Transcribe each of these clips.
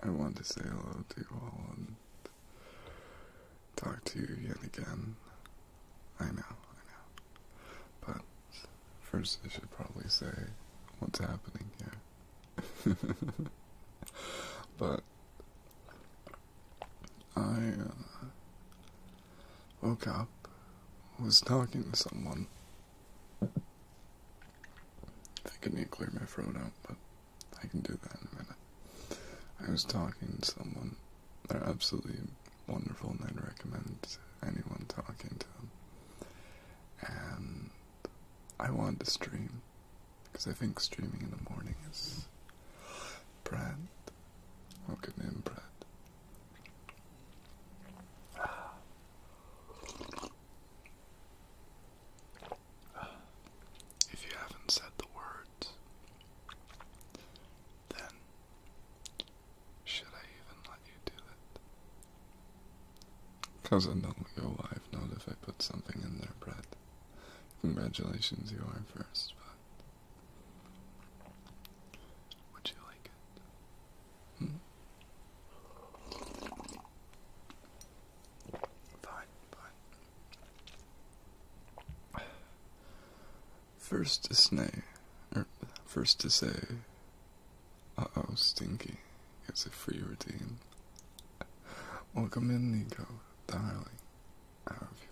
I, want to say hello to you all and talk to you yet again. I know, I know. But first, I should probably say what's happening here. but I uh, woke up, was talking to someone. I think I need to clear my throat out, but I can do that in a minute. I was talking to someone. They're absolutely wonderful, and I'd recommend anyone talking to them. And I want to stream because I think streaming in the morning is. Brad, welcome in, Brad. If you haven't said the words, then should I even let you do it? Because I know you'll live, not if I put something in there, Brett. Congratulations, you are first, but would you like it? Fine, fine. First to say, er, first to say, uh-oh, stinky, it's a free routine. Welcome in, Nico, darling. How have you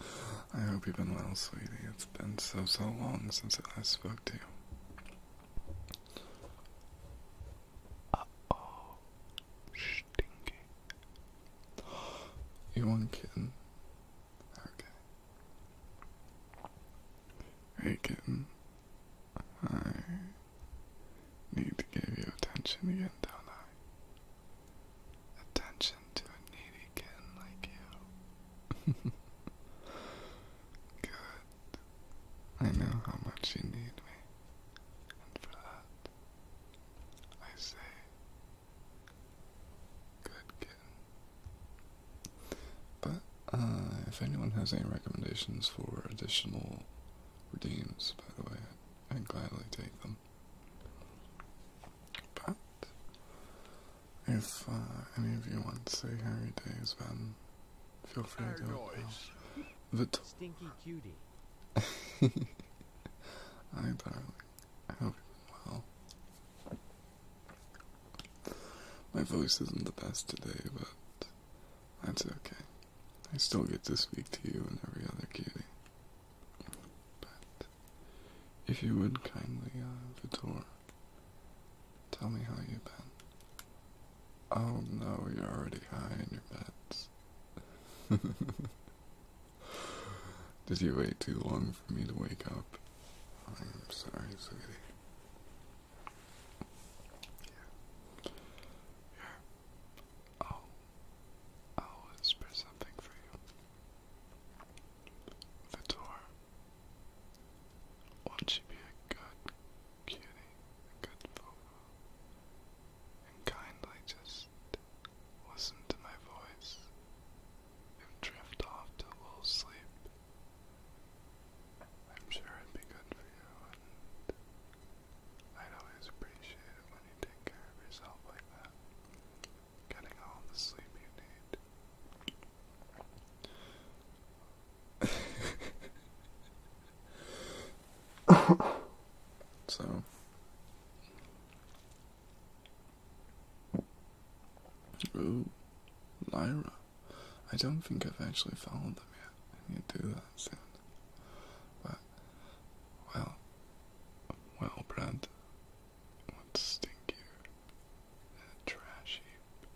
been? I hope you've been well, sweetie. It's been so, so long since I last spoke to you oh, stinky. You want kitten? Okay. Hey kitten, I need to give you attention again, don't I? Attention to a needy kitten like you. Good. I know how much you need me. And for that, I say, good kitten. But, uh, if anyone has any recommendations for additional redeems, by the way, I'd gladly take them. But, if uh, any of you want to say Harry Days, then feel free to do it Stinky cutie. I hope you well. My voice isn't the best today, but that's okay. I still get to speak to you and every other cutie. But if you would kindly, uh, Vitor, Tell me how you've been. Oh no, you're already high in your beds. Did you wait too long for me to wake up? I'm sorry, sweetie. Yeah. Yeah. i I'll whisper something for you. Vitor, won't you be a good cutie, a good vocal, and kindly just listen to my voice and drift off to a little sleep? I'm sure it'd be good for you, I'd always appreciate it when you take care of yourself like that. Getting all the sleep you need. so Ooh, Lyra. I don't think I've actually followed them yet. I need do that soon. But well well Brad let's a trash heap,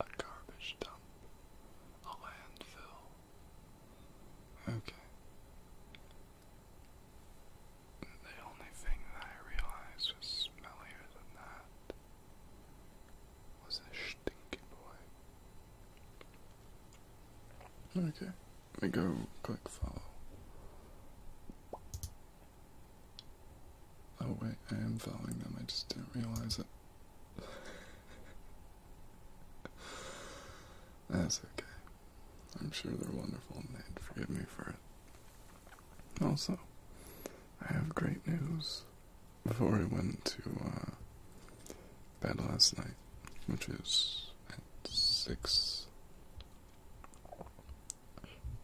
a garbage dump, a landfill. Okay. The only thing that I realized was smellier than that was a stinky boy. Okay, we go click follow. Oh wait, I am following them, I just didn't realize it. That's okay. I'm sure they're wonderful and they'd forgive me for it. Also, I have great news. Before I went to uh, bed last night, which is at 6.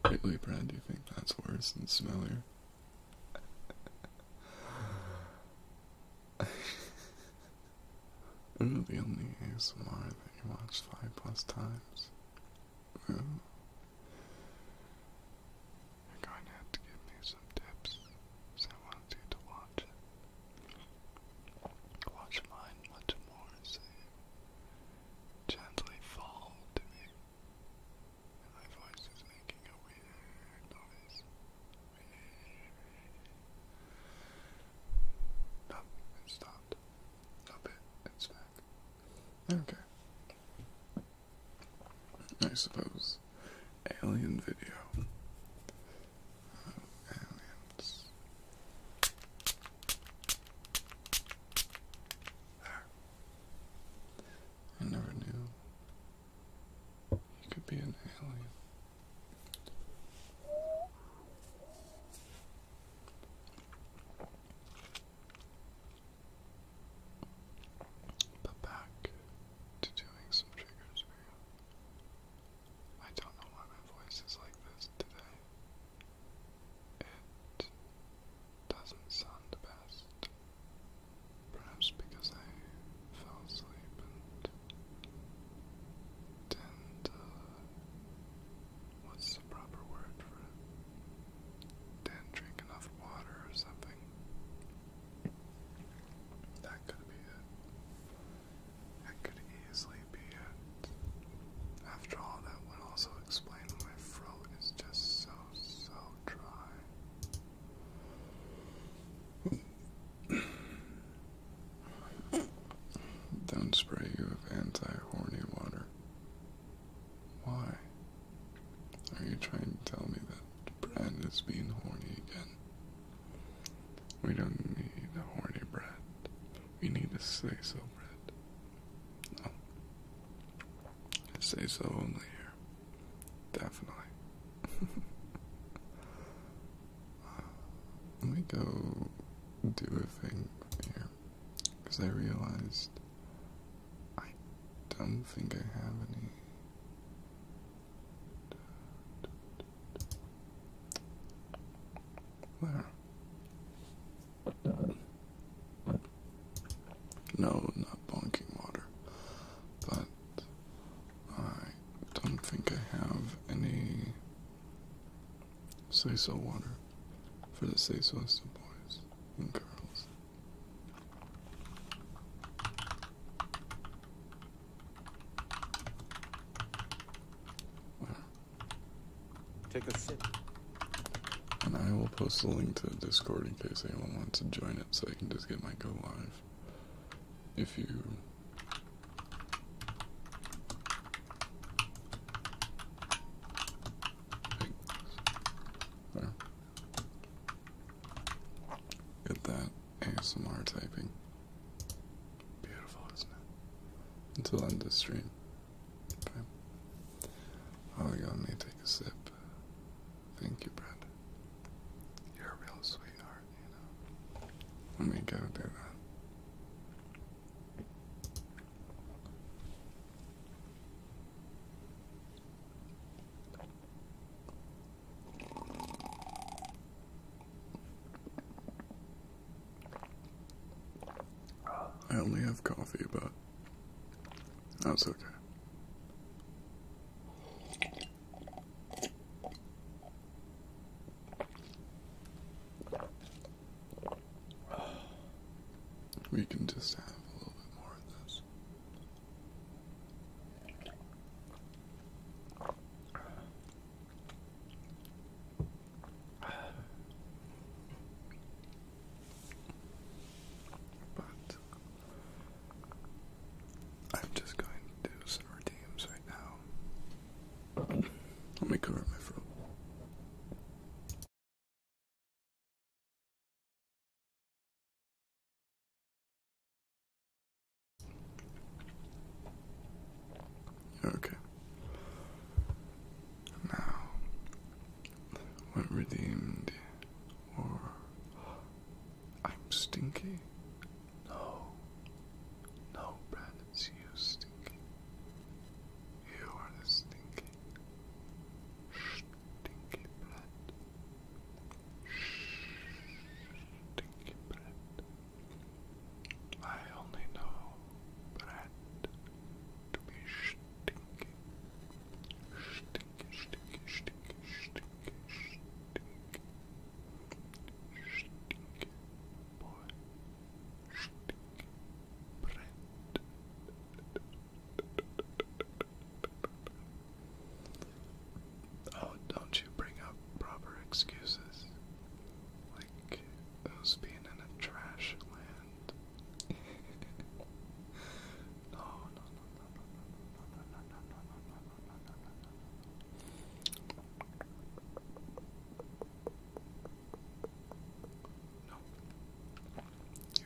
Great Leap do you think that's worse and smellier? Are you the only ASMR that you watched five plus times? You're going to have to give me some tips, I want you to watch it. Watch mine much more, so gently fall my voice is making a weird noise. No, it stopped. Stop it. It's back. Okay. I suppose. Alien video. aliens. There. I never knew he could be an alien. But back to doing some triggers for you. I don't know why my voice is like this today. It doesn't sound the best. Perhaps because I fell asleep and didn't, uh, what's the proper word for it? Didn't drink enough water or something. That could be it. That could easily be it. After all, that would also explain why my throat is just so, so dry. Don't spray you with anti-horny water. Why? Are you trying to tell me that Brand is being horny again? We don't need a horny Brad. We need a say-so Brad. No say so only here. Definitely. let me go do a thing here. Because I realized I don't think I have any. There. No, not bonking water. But I don't think I have any say so water for the say so boys and girls. Take a sip. And I will post the link to Discord in case anyone wants to join so I can just get my go live. If you Get that ASMR typing. Beautiful, isn't it? Until end this stream. Oh, I gotta may take a sip. Thank you, Brenda. You're a real sweetheart, you know. Let me go do that. I only have coffee, but that's okay. We can just have a little bit more of this. But I'm just going to do some redeems right now. Let me cover my throat. Okay. Now, what redeemed or I'm stinky. No. No, Brad, it's you stinky. You are the stinky. Stinky Brad. Stinky Brad. I only know Brad to be stinky. Oh, don't you bring up proper excuses. Like those being in a trash land. no, no, Nope.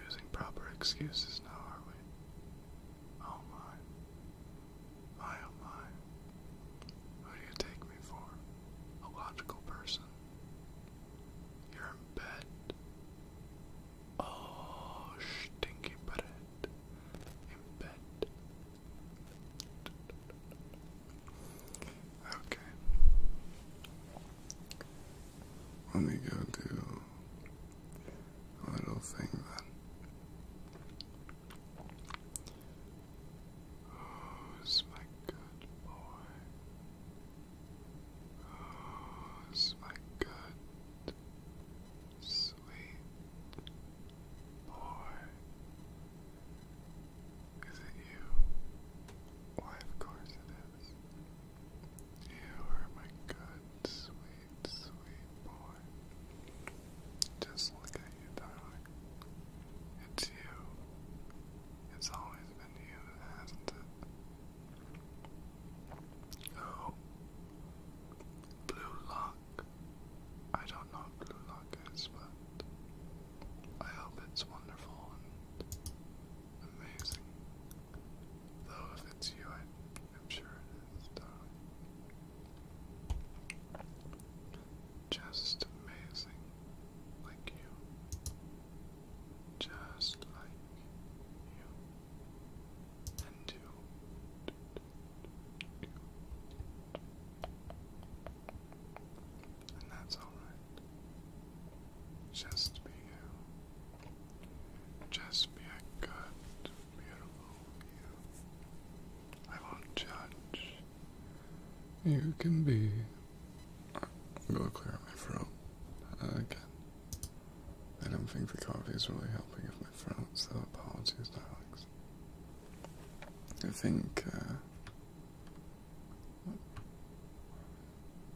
Using proper excuses now, are we? Oh my. My oh my. Who do you take me for? A logical person. You're in bed. Oh, stinky bread in bed. Okay. Let me go do a little thing then. Who's oh, my good boy? Who's oh, my good sweet boy. Is it you? Why, of course it is. You are my good, sweet, sweet boy. Just look at you, darling. It's you. It's always been you, hasn't it? Oh. Blue Lock. I don't know Blue Lock is, but I hope it's wonderful and amazing. Though if it's you, I, am sure it is, Just amazing, like you. Just like you and two. And that's alright. Just be you. Just be a good, beautiful you. I won't judge. You can be. I'm gonna clear my throat again. I don't think the coffee is really helping with my throat, so apologies to Alex. I think, uh,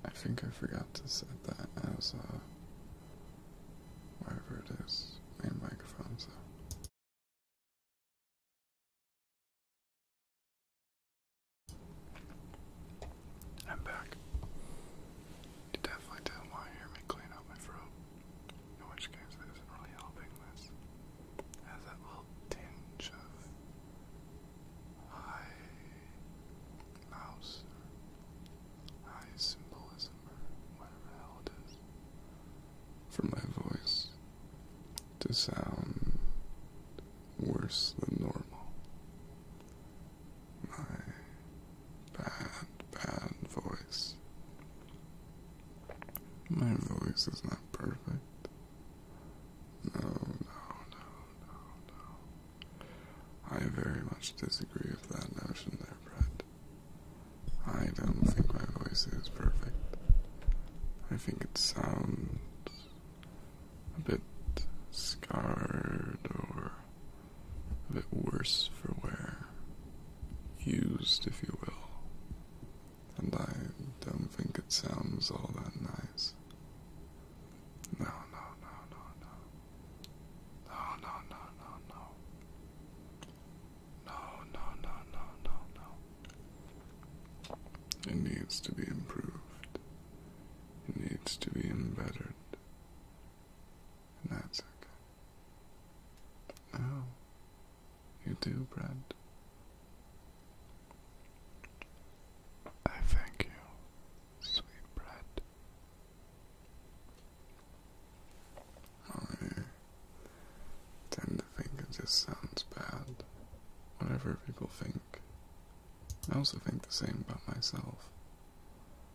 I think I forgot to set that as, uh, wherever it is, main microphone, so. I'm back. You definitely didn't want to hear me clean out my throat. In which case, this not really helping this. has that little tinge of high mouse high symbolism or whatever the hell it is. For my voice to sound worse than normal my bad, bad voice. My voice is not perfect. No, no, no, no, no. I very much disagree with that notion there, Brett. I don't think my voice is perfect. I think it sounds a bit scarred or a bit worse for wear, used, if you will. And I don't think it sounds all that nice. No, no, no, no, no. No, no, no, no, no. No, It needs to be improved. It needs to be embittered. And that's okay. Oh, you do, Brent. I thank you, sweet Brent. I tend to think it just sounds bad, whatever people think. I also think the same about myself.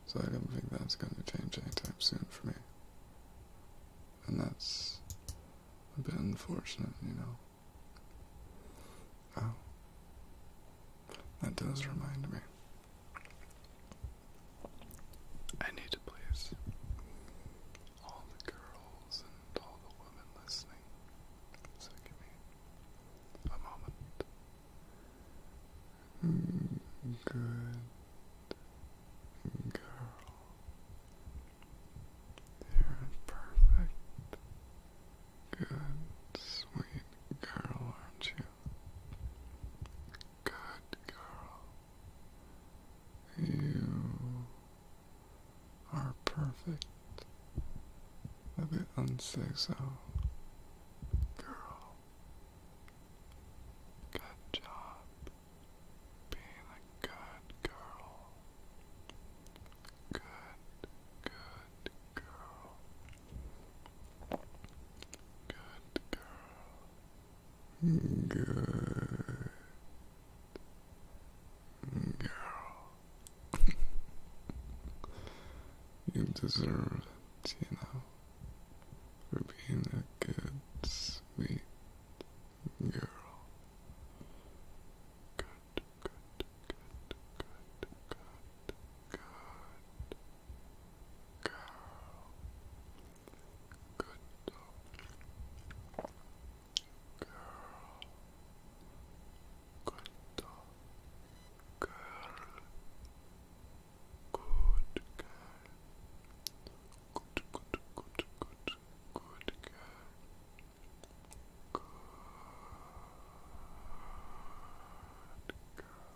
So I don't think that's going to change anytime soon for me. And that's a bit unfortunate, you know. Oh. That does remind me. I need to please all the girls and all the women listening. So give me a moment. Good girl. You're perfect. Good, sweet girl, aren't you? Good girl. You are perfect. A bit unsafe, girl. Good job being a good girl. Good, good girl. Good girl. Good. Girl, you deserve it, you know for being a good, sweet girl. Good, good, good, good, good, good girl. Good Girl. Good Girl. Good girl. Good, good, good, good, good girl. Good girl. Good girl. Good girl.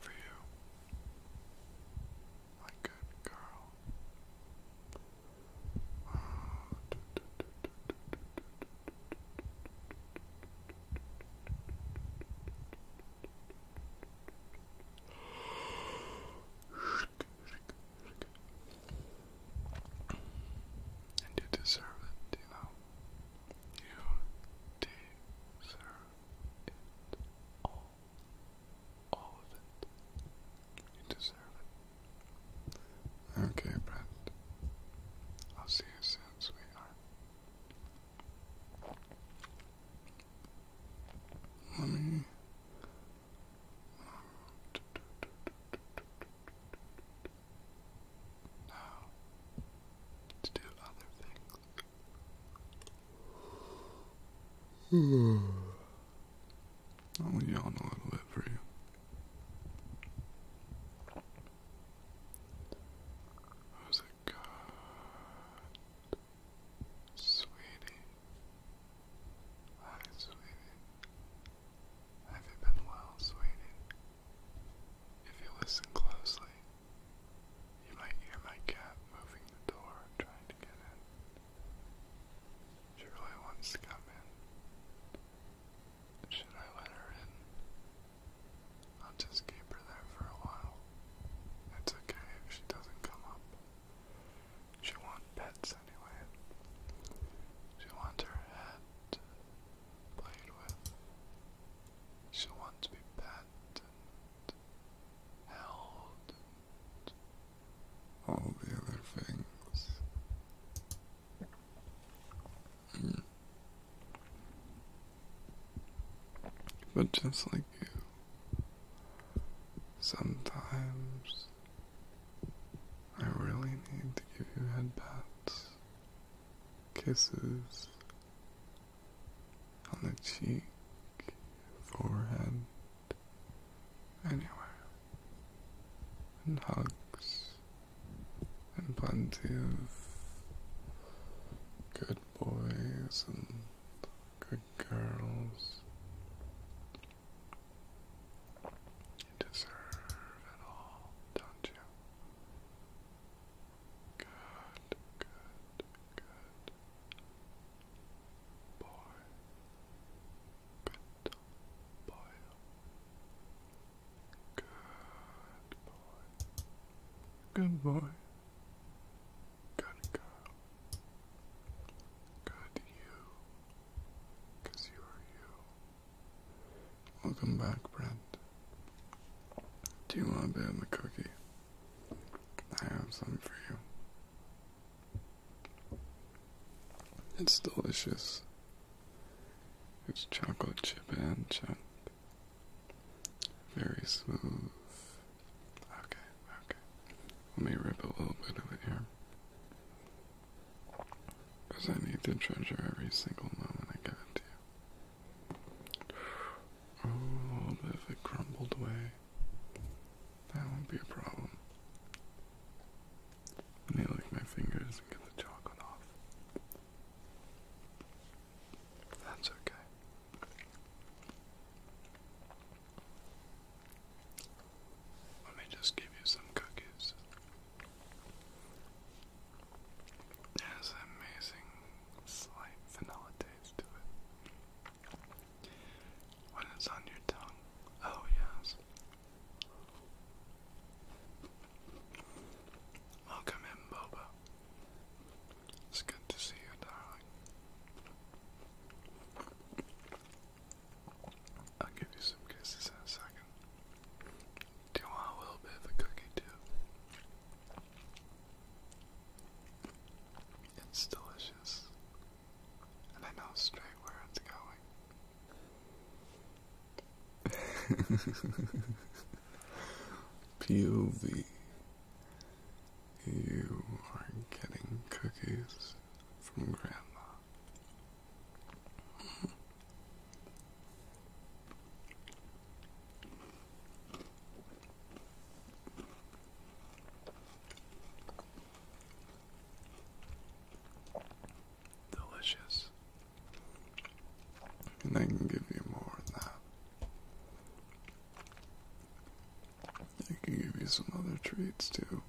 For you, my good girl. And you deserve it, you know. You deserve it all. All of it. You deserve it. Okay, Brent. I'll see you soon, sweetheart. Let me. Now, to do other things. I'll yawn a little bit for you. How's Sweetie. Hi, sweetie. Have you been well, sweetie? If you listen closely, you might hear my cat moving the door, trying to get in. She wants to come in. Should I let her in? I'll just keep her there for a while. It's okay if she doesn't come up. She wants pets anyway. She wants her head played with. She wants to be petted and held all the other things. Hmm. But just like you, sometimes I really need to give you head kisses on the cheek, forehead anywhere, and hugs, and plenty of good boys and good girls. You deserve it all, don't you? Good, good, good. Boy, good boy, good boy, good boy, good girl, good you, you are you. Welcome back, Brent. Do you want a bit of the cookie? I have some for you. It's delicious. It's chocolate chip and chunk. Very smooth. Okay, okay. Let me rip a little bit of it here. Because I need to treasure every single moment I got you. Oh, a little bit of it crumbled away. That won't be a problem. Let me lick my fingers and get the chocolate off. That's okay. Let me just give you some cookies. has an amazing slight vanilla taste to it. When it's on your tongue. Oh, yes. Welcome in, Boba. It's good to see you, darling. I'll give you some kisses in a second. Do you want a little bit of a cookie, too? It's delicious and I know straight where it's going. POV. You are getting cookies from Grandma. Delicious. And I can give you more of that. I can give you some other treats too.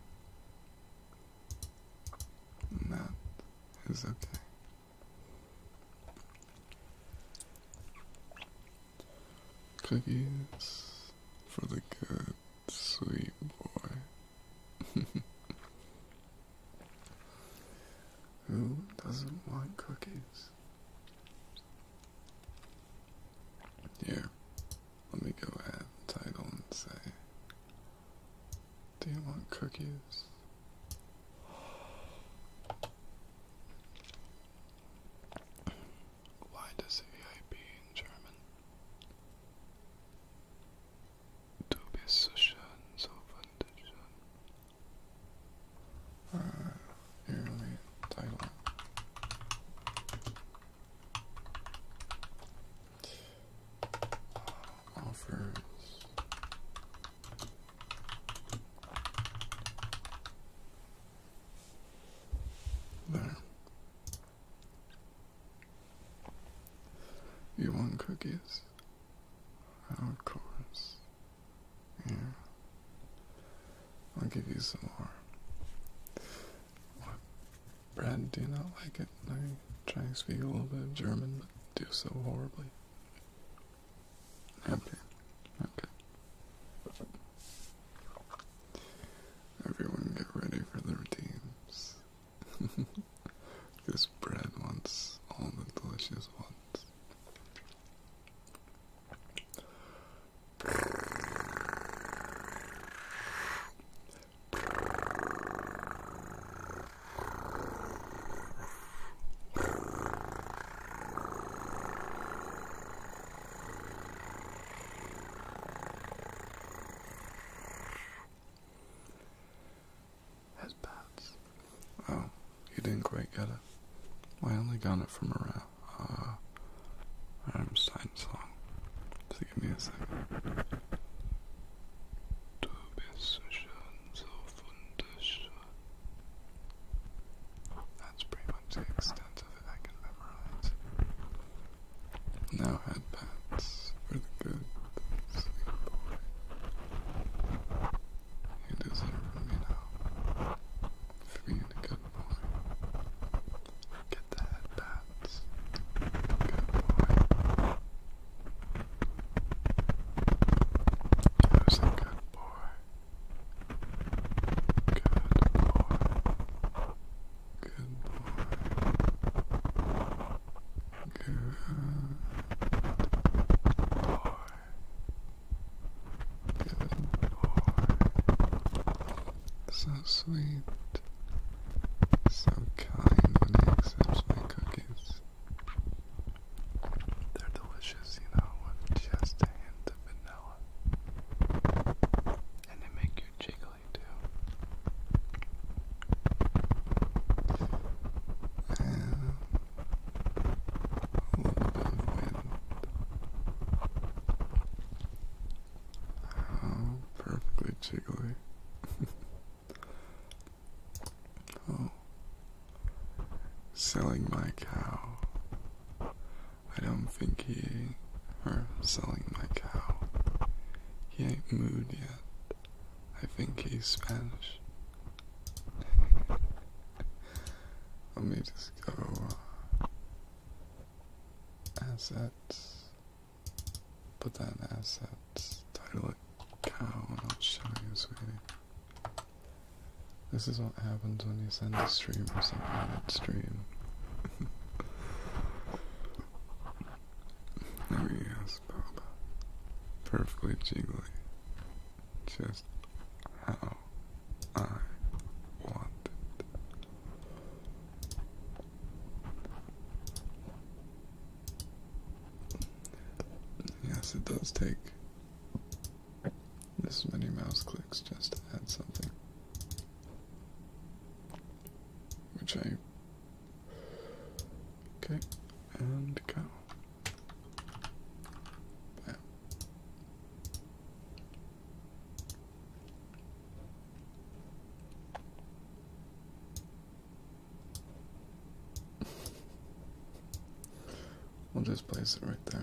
And that is okay. Cookies for the good. Sweet boy. Who doesn't want cookies? Here, let me go add title and say, Do you want cookies? Why does VIP in German? Du bist so schön, so Ah, Uh, early title. Uh, offers. There. You want cookies? Of course. Here. I'll give you some more. What bread do you not like it? I am trying to speak a little bit of German, but do so horribly. Okay. Okay. Everyone get ready for the teams. this bread wants all the delicious ones. As bats. Oh, you didn't quite get it. I only got it from around. Uh, I'm sign song. So give me a second. That's pretty much the extent of it I can memorize now had pats for the good boy. You deserve me now. For being a good boy. Get the head Good boy. I was a good boy. Good boy. Good boy. Good boy. So sweet. So kind when he accepts my cookies. They're delicious, you know, with just a hint of vanilla. And they make your cheek Oh, perfectly jiggly. oh. Selling my cow. I don't think he or selling my cow. He ain't moved yet. I think he's Spanish. Let me just go uh, assets, put that in assets, title it cow, and I'll show you, sweetie. This is what happens when you send a stream or something in stream. yes, Papa. Perfectly jiggly. Just how I want it. Yes, it does take this many mouse clicks just to add something. Which I Okay, and go. we'll just place it right there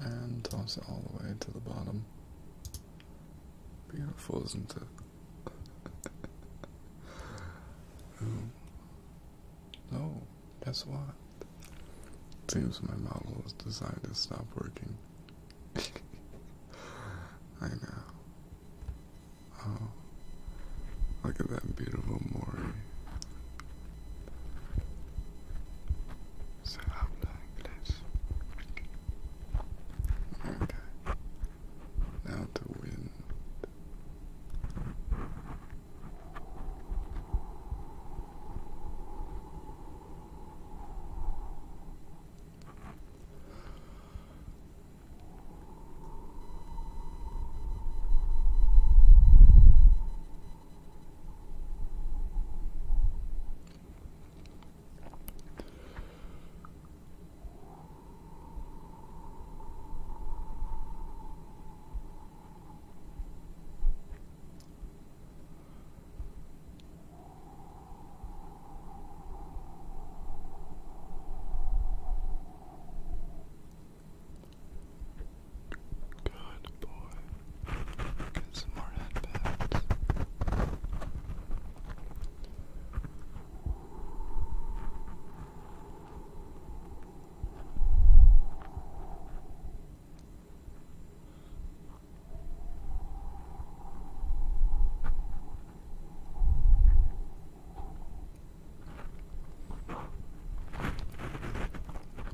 and toss it all the way to the bottom. Beautiful, isn't it? um, no, guess what? Seems my model has designed to stop working. I know. Oh, look at that beautiful Mori. Set up Okay. Now the wind. Good boy. Get some more headbands.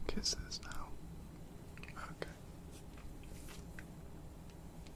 Kisses now. Okay.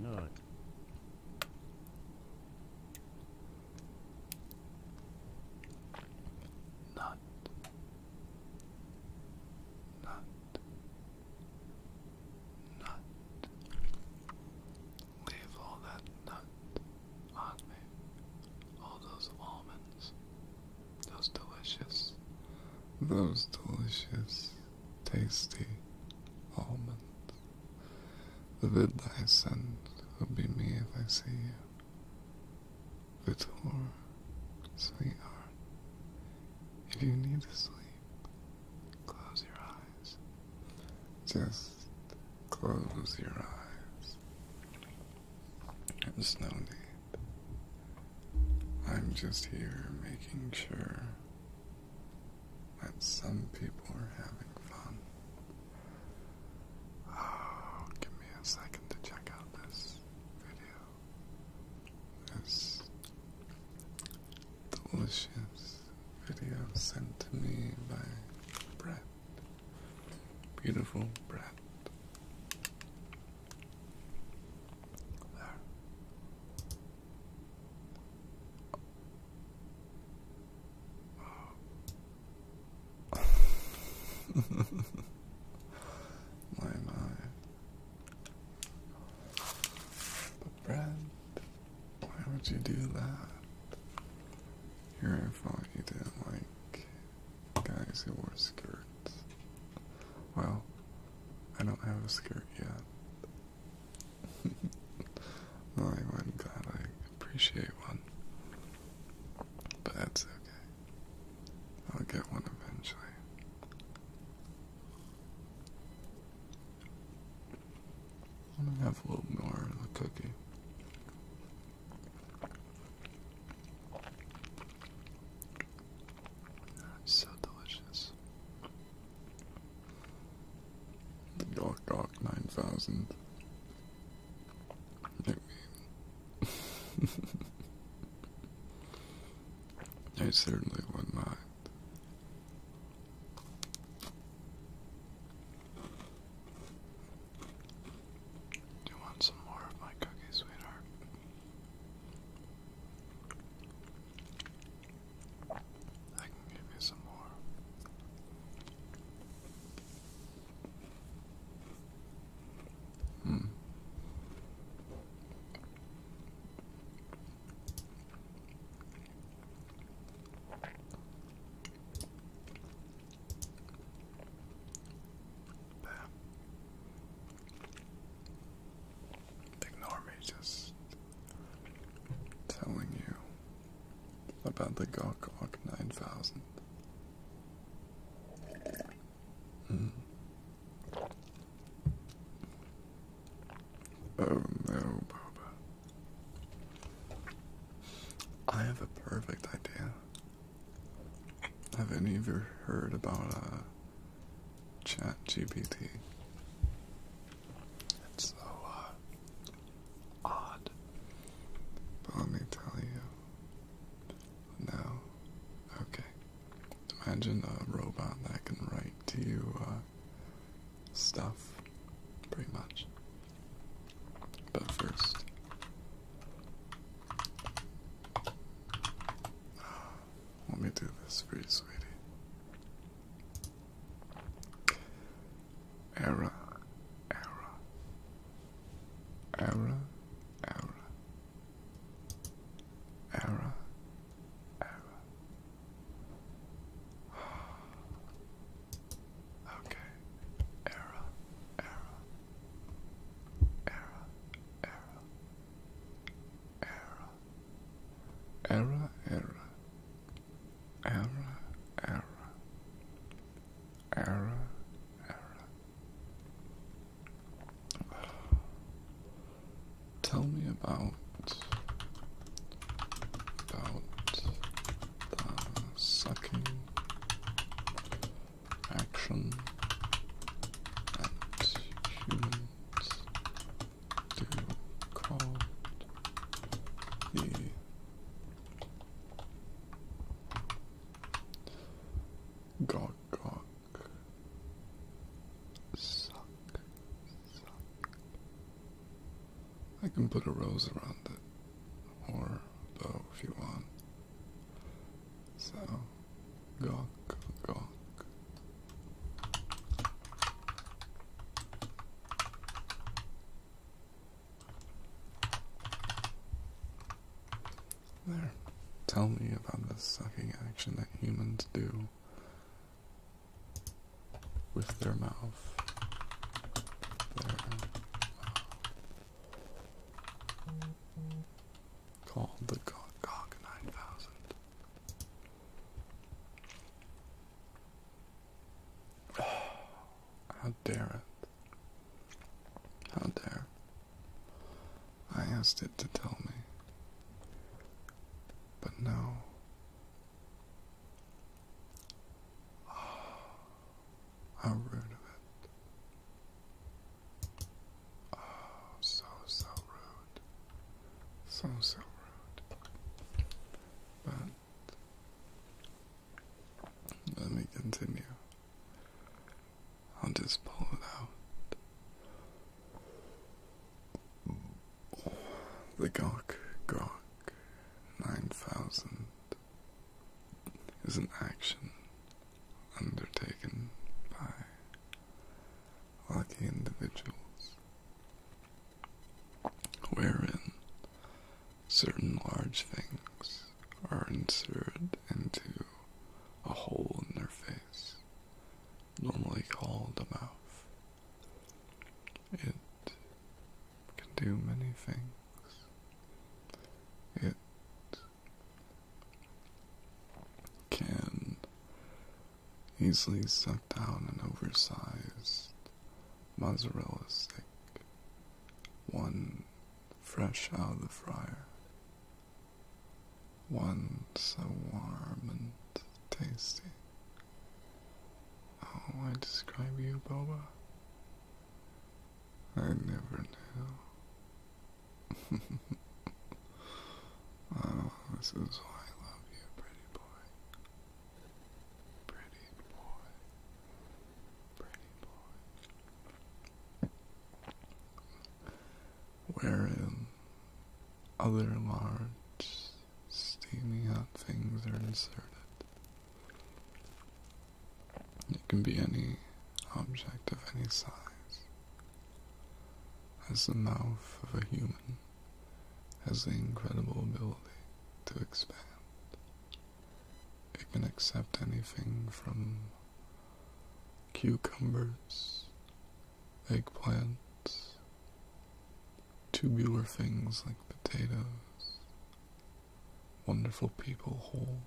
Look. Nut. Nut. Nut. Leave all that nut on me. All those almonds those delicious, those delicious, tasty almonds. The vid I send will be me if I see you. Vitor, sweetheart, if you need to sleep, close your eyes. Just close your eyes. There's no need. I'm just here making sure that some people are having fun. Oh, give me a second to check out this video. This delicious video sent to me by Brett. Beautiful Brett. There. my my But Brad, why would you do that? You're Your fault you didn't like guys who wore skirts. Well, I don't have a skirt yet. I'm glad I appreciate one. But that's okay. I'll get one eventually. I'm gonna have a little more of the cookie so delicious. The Dark Dark 9000. I I certainly wouldn't mind. You want some more of my cookie, sweetheart? I can give you some more. Hmm. Ignore me just telling you about the Gok Gok 9000. Hmm. Oh no, Boba. I have a perfect idea. Have any of you heard about uh, ChatGPT? It's so uh, odd. But let me tell you. No. Okay. Imagine a robot that can write to you uh, stuff, pretty much. But first, let me do this for you, sweetie. Era, era, era, era, era, era. Okay, era, era, era, era, error, error, error, error, error, error, Tell me about about the sucking action and humans do call the gog gog suck suck I can put a rose around it or a bow if you want so, gawk, gawk. There. Tell me about the sucking action that humans do with their mouth. Their mouth called the Gog 9000. How dare it? How dare? I asked it to tell me. But no. How rude of it. Oh, so, so rude. So, so rude. But let me continue. I'll just pull it out. the Gawk Gawk 9000 is an action undertaken by lucky individuals, wherein certain large things are inserted into a hole in their face, normally called a mouth. It can do many things. It can easily suck down an oversized mozzarella stick, one fresh out of the fryer, one so warm and tasty. How oh, I describe you, Boba? I never knew this is why I love you, pretty boy. Pretty boy. Pretty boy. Wherein other large, steamy hot things are inserted. It can be any object of any size, as the mouth of a human has the incredible ability to expand, it can accept anything from cucumbers, eggplants, tubular things like potatoes, wonderful people whole.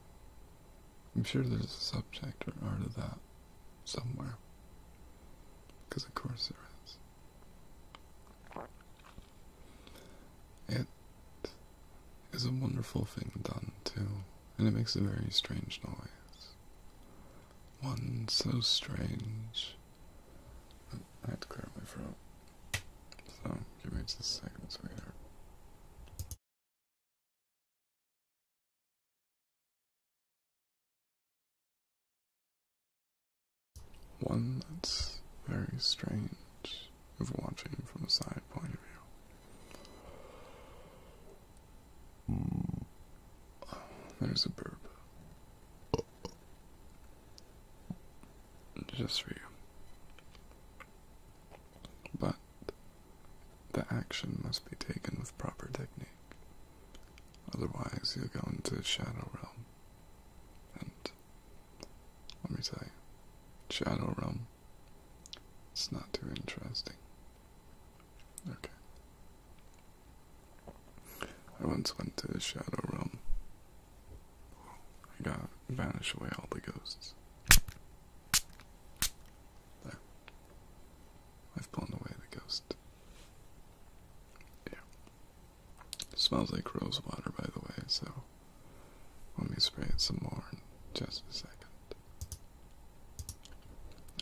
I'm sure there's a subject or art of that somewhere. Because of course there is. It is a wonderful thing done too, and it makes a very strange noise. One so strange. I had to clear my throat. So, give me just a second, sweetheart. One that's very strange of watching from a side point of view. Hmm. there's a burp. Just for you. But the action must be taken with proper technique. Otherwise, you'll go into Shadow Realm. And let me tell you, Shadow Realm, it's not too interesting. Okay. I once went to Shadow Realm. I got vanish away all the ghosts. There. I've blown away the ghost. Yeah. smells like rosewater, by the way, so let me spray it some more in just a second.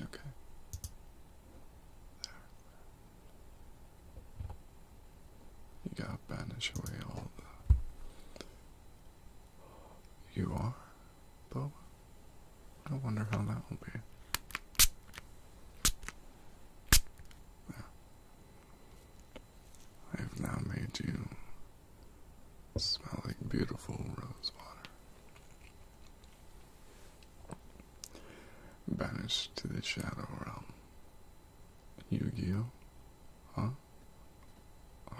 Okay. There. You gotta banish away all the. You are, Boa? I wonder how that will be. I have now made you smell like beautiful rosewater. water. Banished to the shadow realm. yu Huh?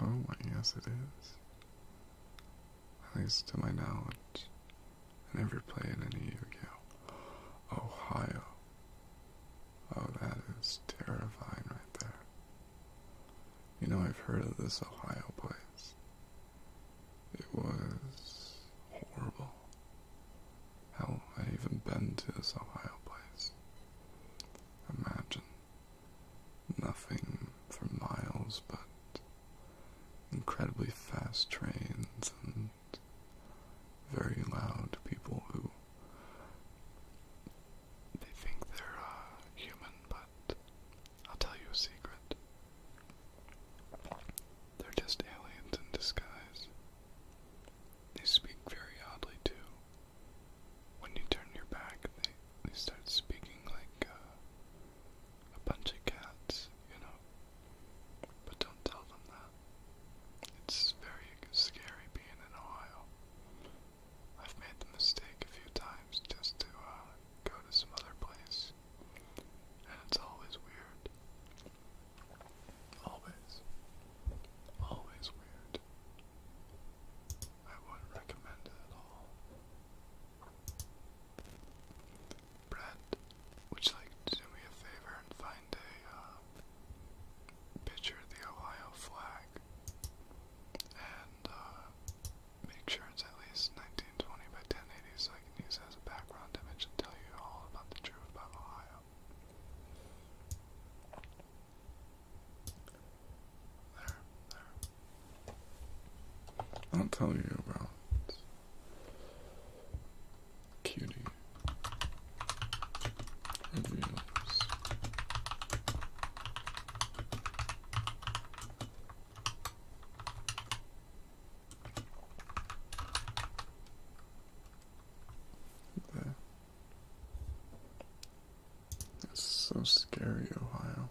Oh, my, yes it is. At least to my knowledge. I never played any yu Ohio. Oh, that is terrifying right there. You know, I've heard of this Ohio place. It was horrible. Hell, I even been to this Ohio place. Imagine nothing for miles, but incredibly fast trains and very loud people who they think they're uh, human, but I'll tell you a secret. They're just aliens in disguise. They speak very oddly too. When you turn your back, they, they start speaking like uh, a bunch of cats, you know. But don't tell them that. It's very scary being in Ohio. I've made the mistake a few times just to uh, go to some other place, and it's always weird. Always. Always weird. I wouldn't recommend it at all. Brent, would you like to do me a favor and find a uh, picture of the Ohio flag? And uh, make sure it's at least 1920 by 1080 so I can use it as a background image and tell you all about the truth about Ohio. There, there. I'll tell you about Cutie Reviews. There. It's so scary, Ohio.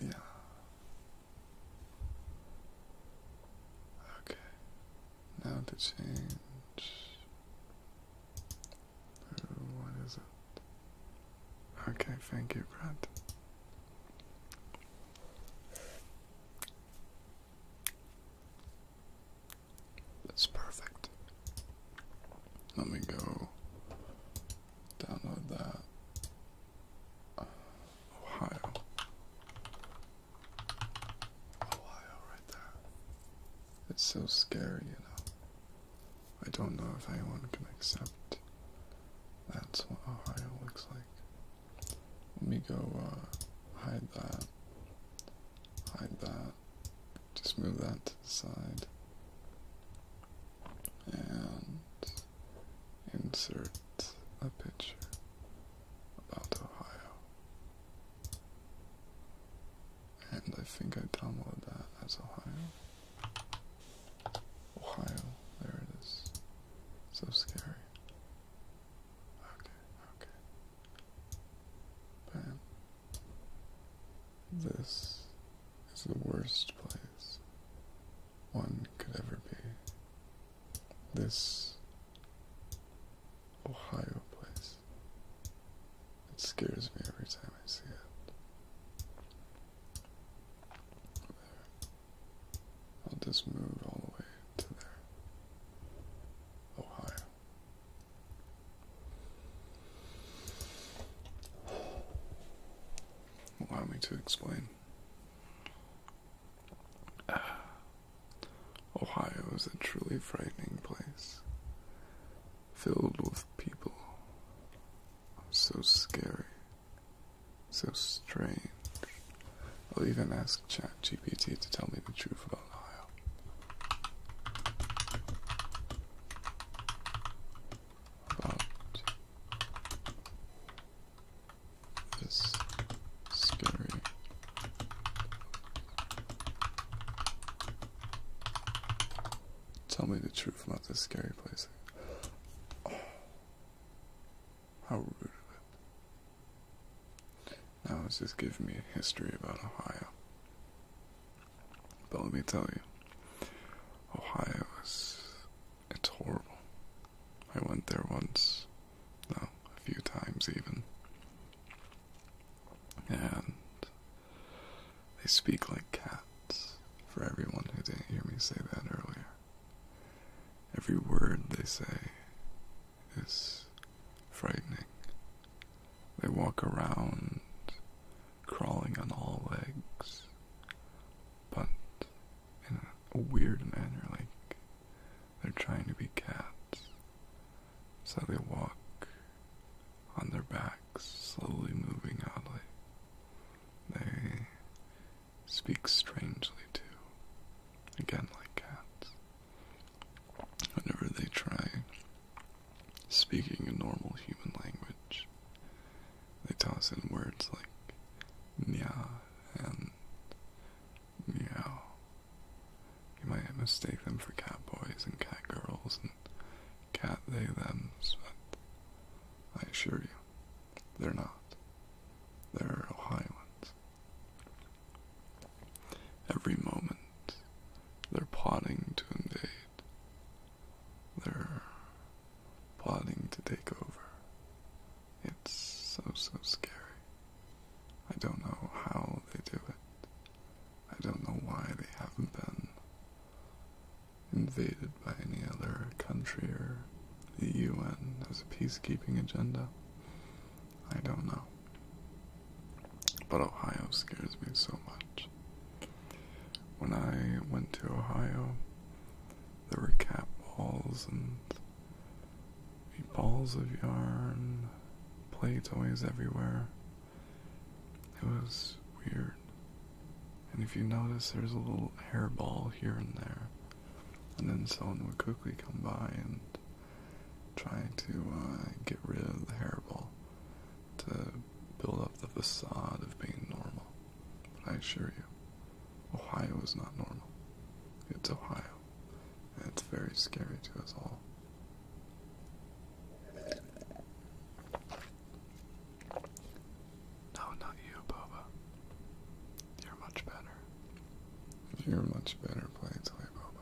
Yeah. Okay. Now to change. what is it? Okay, thank you, Brad. That's perfect. Let me go Download that. Ohio. Ohio right there. It's so scary, you know. I don't know if anyone can accept that's what Ohio looks like. Let me go uh, hide that. Hide that. Just move that side and insert a picture about Ohio. And I think I downloaded that as Ohio. Ohio, there it is. So scary. Okay, okay. Bam. This is the worst place one could ever be. This Ohio place. It scares me every time I see it. There. I'll just move all the way to there. Ohio. Allow me to explain. Ohio is a truly frightening place, filled with people so scary, so strange. I'll even ask ChatGPT to tell me the truth about Ohio. About is scary. Tell me the truth about this scary place. how rude of it. Now it's just give me a history about Ohio. But let me tell you, Ohio is it's horrible. I went there once, no, a few times even. And they speak like cats, for everyone who didn't hear me say that earlier. Every word they say is frightening. They walk around, crawling on all legs, but in a weird manner, like they're trying to be cats. So they walk on their backs, slowly moving oddly. They speak strangely too. Again, like cats. Whenever they try speaking a normal human language, they toss in words like nya and meow. You might mistake them for cat boys and cat girls and cat they thems, but I assure you, they're not. They're Ohioans. Every moment, they're plotting to invade. They're plotting to take over. It's so, so scary. I don't know how they do it. I don't know why they haven't been invaded by any other country or the UN as a peacekeeping agenda. I don't know. But Ohio scares me so much. When I went to Ohio, there were cat balls and balls of yarn, play toys everywhere. It was weird. And if you notice, there's a little hairball here and there. And then someone would quickly come by and try to uh, get rid of the hairball to build up the facade of being normal. But I assure you, Ohio is not normal. It's Ohio. And it's very scary to us all. No, not you, Boba. You're much better. You're much better playing toy, Boba.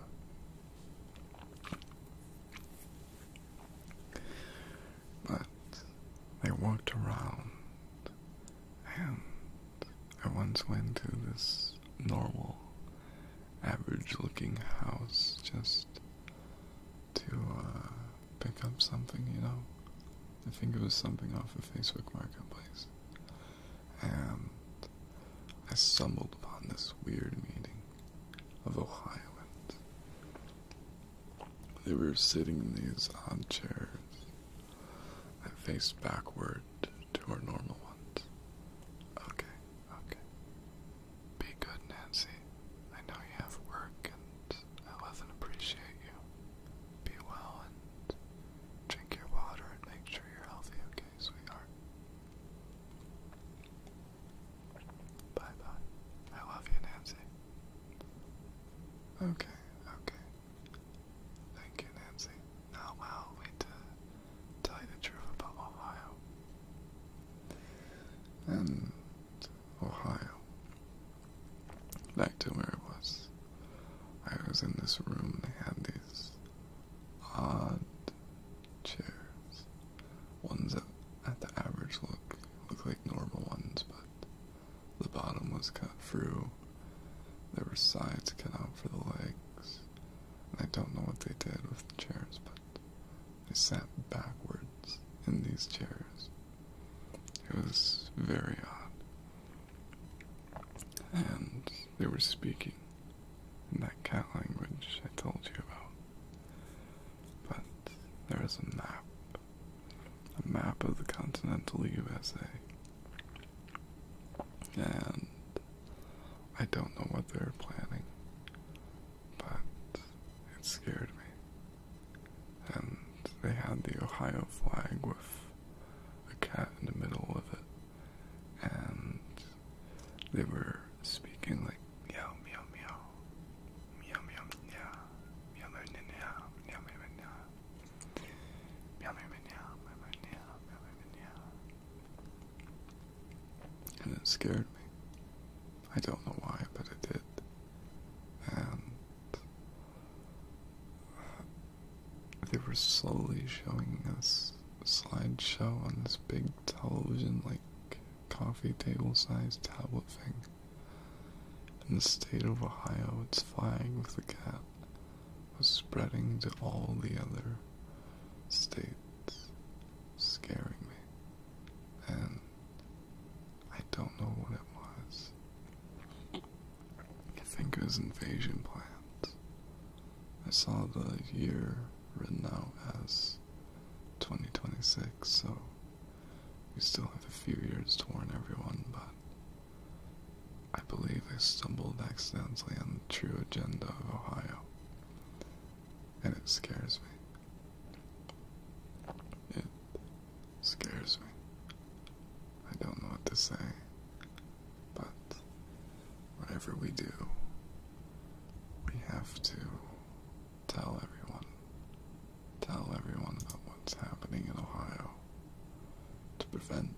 But they walked around, and I once went to this normal, average looking house just to uh, pick up something, you know? I think it was something off of Facebook Marketplace. And I stumbled upon this weird meeting of Ohioans. They were sitting in these odd chairs and faced backward to our normal ones. Okay, okay. Be good, Nancy. I know you have work and I love and appreciate you. Be well and drink your water and make sure you're healthy, okay, sweetheart? Bye bye. I love you, Nancy. Okay, okay. Thank you, Nancy. Now, I'll wait to tell you the truth about Ohio. And Ohio. Back to where it was. I was in this room, they had these odd chairs. Ones that at the average look look like normal ones, but the bottom was cut through. There were sides cut out for the legs. And I don't know what they did with the chairs, but they sat backwards in these chairs. It was very odd. And they were speaking in that cat language I told you about. But there was a map a map of the continental USA. And I don't know what they're planning, but it scared me. And they had the Ohio flag with a cat in the middle of it, and they were speaking like meow meow meow meow meow meow meow meow meow meow meow meow meow Meow meow meow meow meow meow meow meow. And it scared me. I don't know why, but it did. And they were slowly showing us a slideshow on this big television, like coffee table size tablet thing. In the state of Ohio, its flag with the cat was spreading to all the other states, scaring me. And I don't know what it was. I think it was invasion plans. I saw the year written out as 2026, so we still have a few years to warn everyone, but I believe I stumbled accidentally on the true agenda of Ohio, and it scares me. It scares me. I don't know what to say, but whatever we do, we have to tell everyone tell everyone about what's happening in Ohio to prevent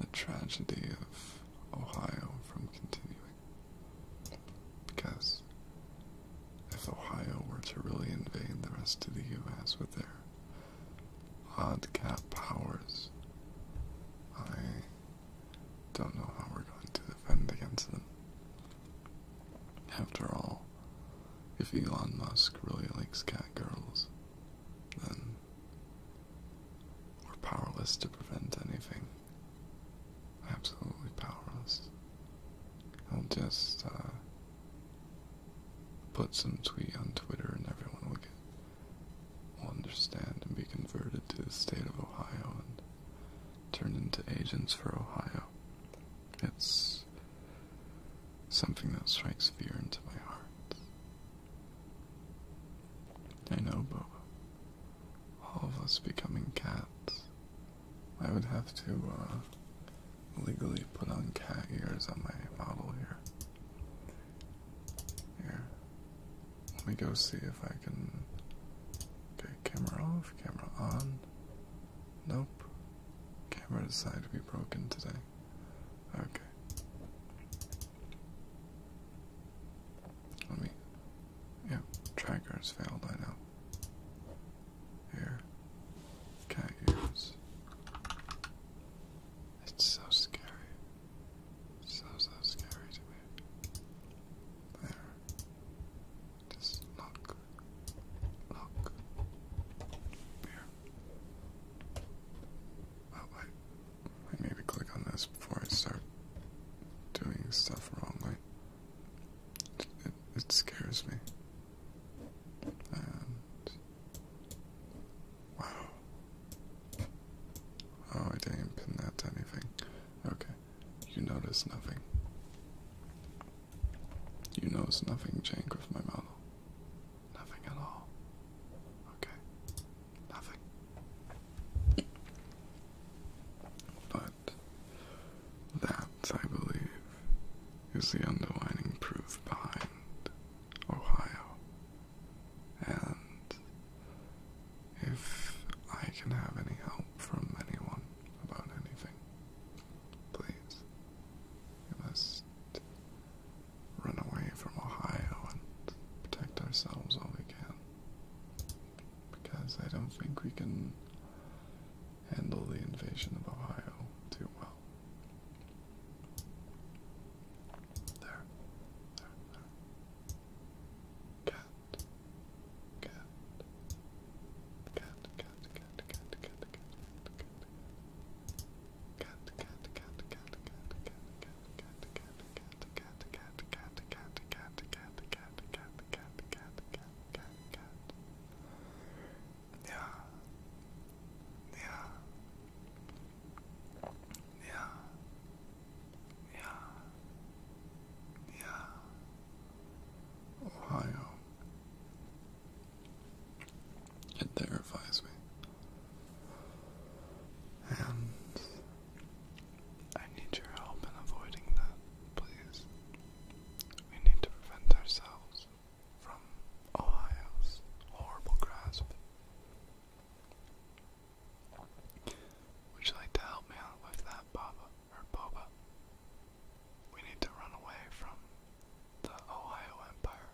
the tragedy of Ohio from continuing. Because if Ohio were to really invade the rest of the U.S. with their odd cap powers, I don't know how we're going to defend against them. After all, if Elon Musk really likes cat girls, then we're powerless to prevent anything. Absolutely powerless. I'll just uh, put some tweet on Twitter and everyone will, get, will understand and be converted to the state of Ohio and turn into agents for Ohio. It's something that strikes fear into my heart. I know, Bobo. All of us becoming cats. I would have to uh, legally put on cat ears on my model here. Here. Let me go see if I can get camera off, camera on. Nope. Camera decided to be broken today. Okay. Let me. Yeah, tracker's failed, I know. Here. Cat It's so scary. So, so scary to me. There. Just look. Look. Here. Oh, I, need to click on this before I start doing stuff wrongly. It, scares me. wow. Oh, I didn't pin that to anything. Okay, you notice nothing. You know, it's nothing, Jank, with my model. Nothing at all. Okay. Nothing. But that, I believe, is the underlying proof behind Ohio. And if I can have any help from anyone about anything, please, you run away from Ohio and protect ourselves all we can. Because I don't think we can handle the invasion of Ohio too well. There, there, cat, cat, cat, cat, cat, cat, cat, cat, cat. Ohio, it terrifies me. And I need your help in avoiding that, please. We need to prevent ourselves from Ohio's horrible grasp. Would you like to help me out with that, Baba or Boba? We need to run away from the Ohio Empire.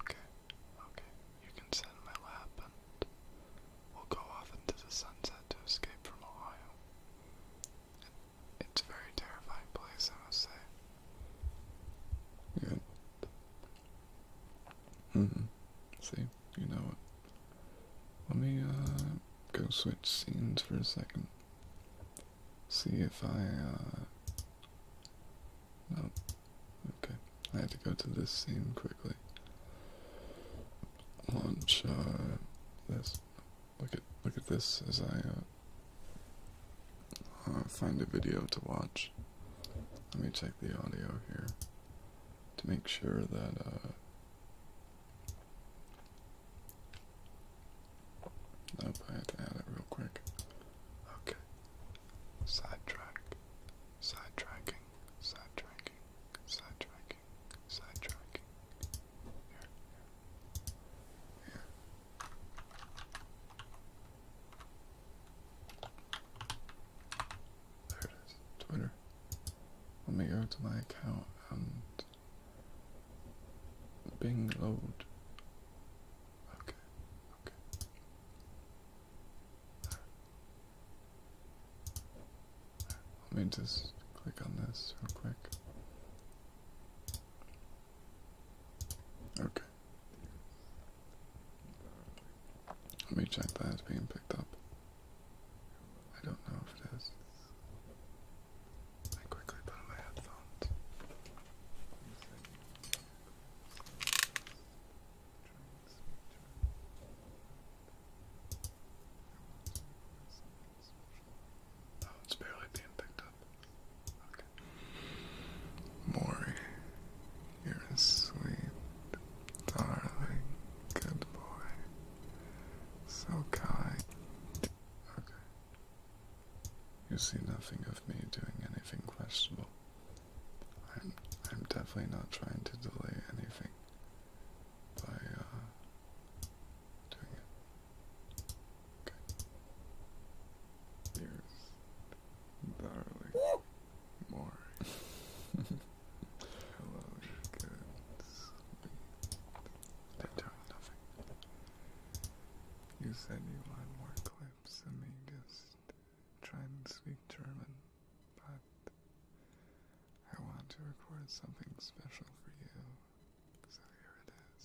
Okay, okay. You can sit in my lap and we'll go off into the sunset to escape from Ohio. it's a very terrifying place, I must say. Good. Mm-hmm. See, you know it. Let me, uh, go switch scenes for a second see if I, uh, no, okay, I have to go to this scene quickly, launch, uh, this, look at, look at this as I, uh, uh, find a video to watch, let me check the audio here, to make sure that, Nope, I had to add it real quick. Okay. Sidetrack. Sidetracking. Sidetracking. Sidetracking. Sidetracking. Here. Here. There it is. Twitter. Let me go to my account and Bing loaded. Okay, okay. Let me just click on this real quick. Okay. Let me check that it's being picked up. I don't know if it is. I quickly put on my headphones. Oh, it's barely being picked up. Okay. Maury, you're a sweet, darling, good boy. So kind. Okay. You see nothing of me doing anything questionable. I'm I'm definitely not trying to delay anything by uh, doing it. Okay. Here's darling. More. Hello, good. doing nothing. You said you want more clips of me just trying to speak German, but I want to record something special for you, so here it is.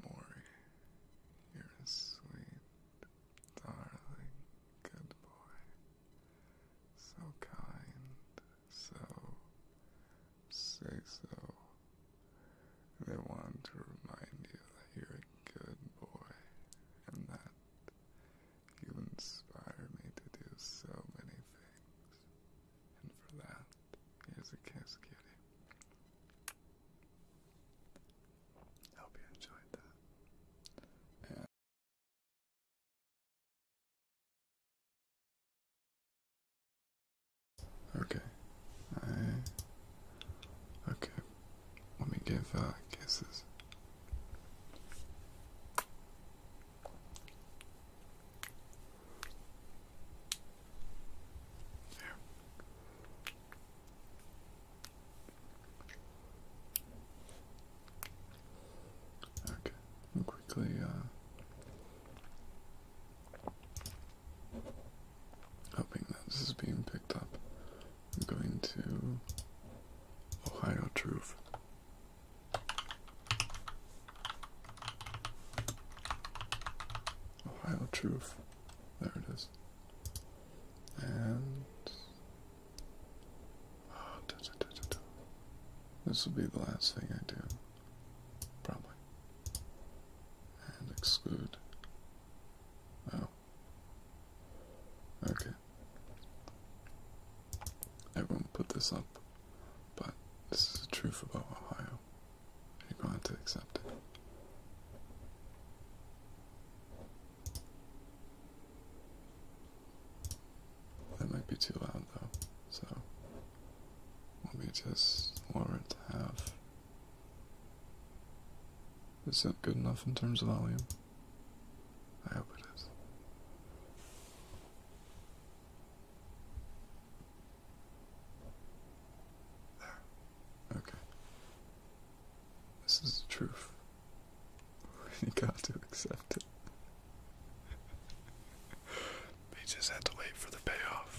Maury, you're a sweet, darling, good boy. So kind, so, say they want to remind you that you're a good boy and that you inspire me to do so many things. And for that, here's a kiss, kitty. Hope you enjoyed that. And Okay. I, uh, okay. Let me give uh, kisses. There. Okay. Quickly. Uh, Hoping that this is being picked up. I'm going to Ohio Truth. Ohio Truth. There it is. And this will be the last thing I do. Probably. And exclude. Oh. Okay. I put this up, but this is the truth about Ohio. You're going to accept it. That might be too loud though, so let me just lower it to half. Is that good enough in terms of volume? I hope it is. There. Okay. This is the truth. We got to accept it. They just had to wait for the payoff.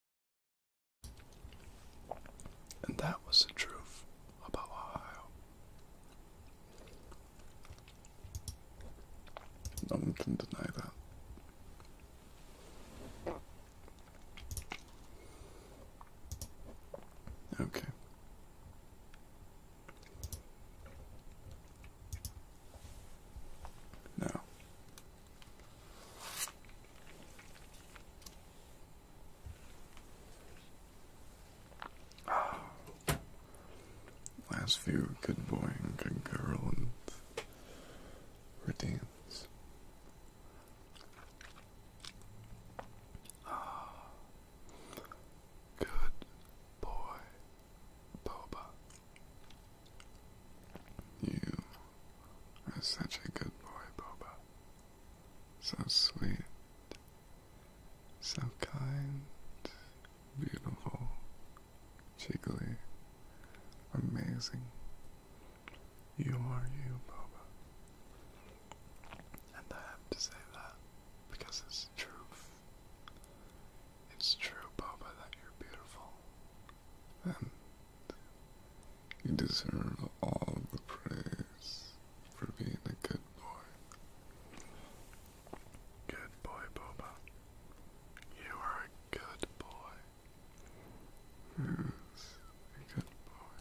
And that was the truth about Ohio. No one can deny that. Okay. Now, Last few good boy and good girl and routines. Oh. Good boy, Boba. You are such a good boy, Boba so sweet, so kind, beautiful, jiggly, amazing. You are you, Boba. And I have to say that because it's truth. It's true, Boba, that you're beautiful. And you deserve all the praise for being a good boy. Good boy, Boba. You are a good boy. Yes, good boy.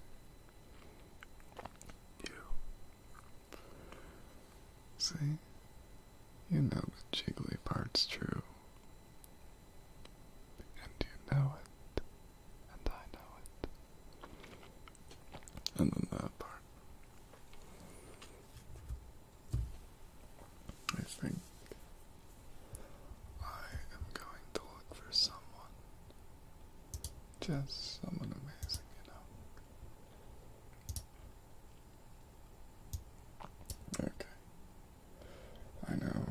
You. See? You know the jiggly part's true and you know it, and I know it. And then that part. I think I am going to look for someone. Just someone amazing, you know. Okay. I know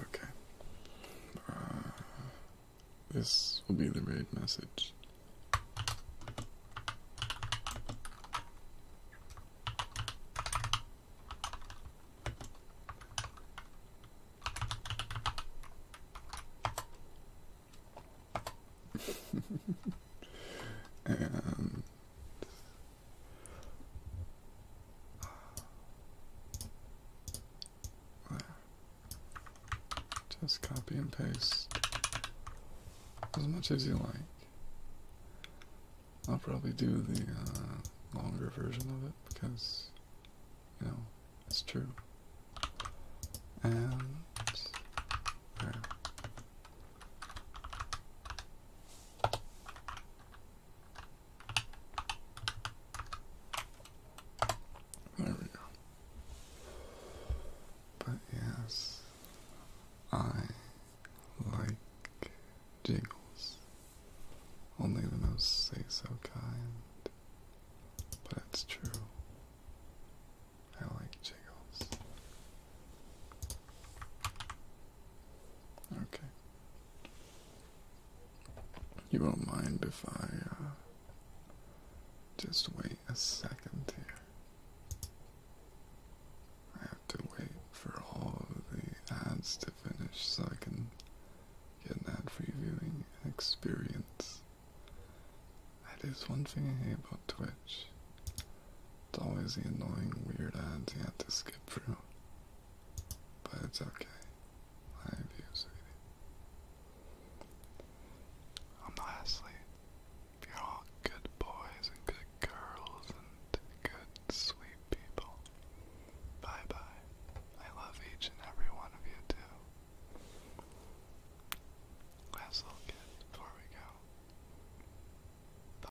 Okay. Uh, this will be the raid message. and just copy and paste as much as you like. I'll probably do the uh, longer version of it because, you know, it's true. And there. There we go. But yes, I like jiggles. Only the most say so kind. But it's true. I like jiggles. Okay. You won't mind if I uh, just wait a second here. I have to wait for all of the ads to finish so I can get an ad free viewing experience. That is one thing I hate about Twitch. It's always the annoying weird ads you have to skip through. But it's okay. I have you, sweetie. I'm lastly, you're all good boys and good girls and good sweet people. Bye bye. I love each and every one of you too. Last little kid before we go.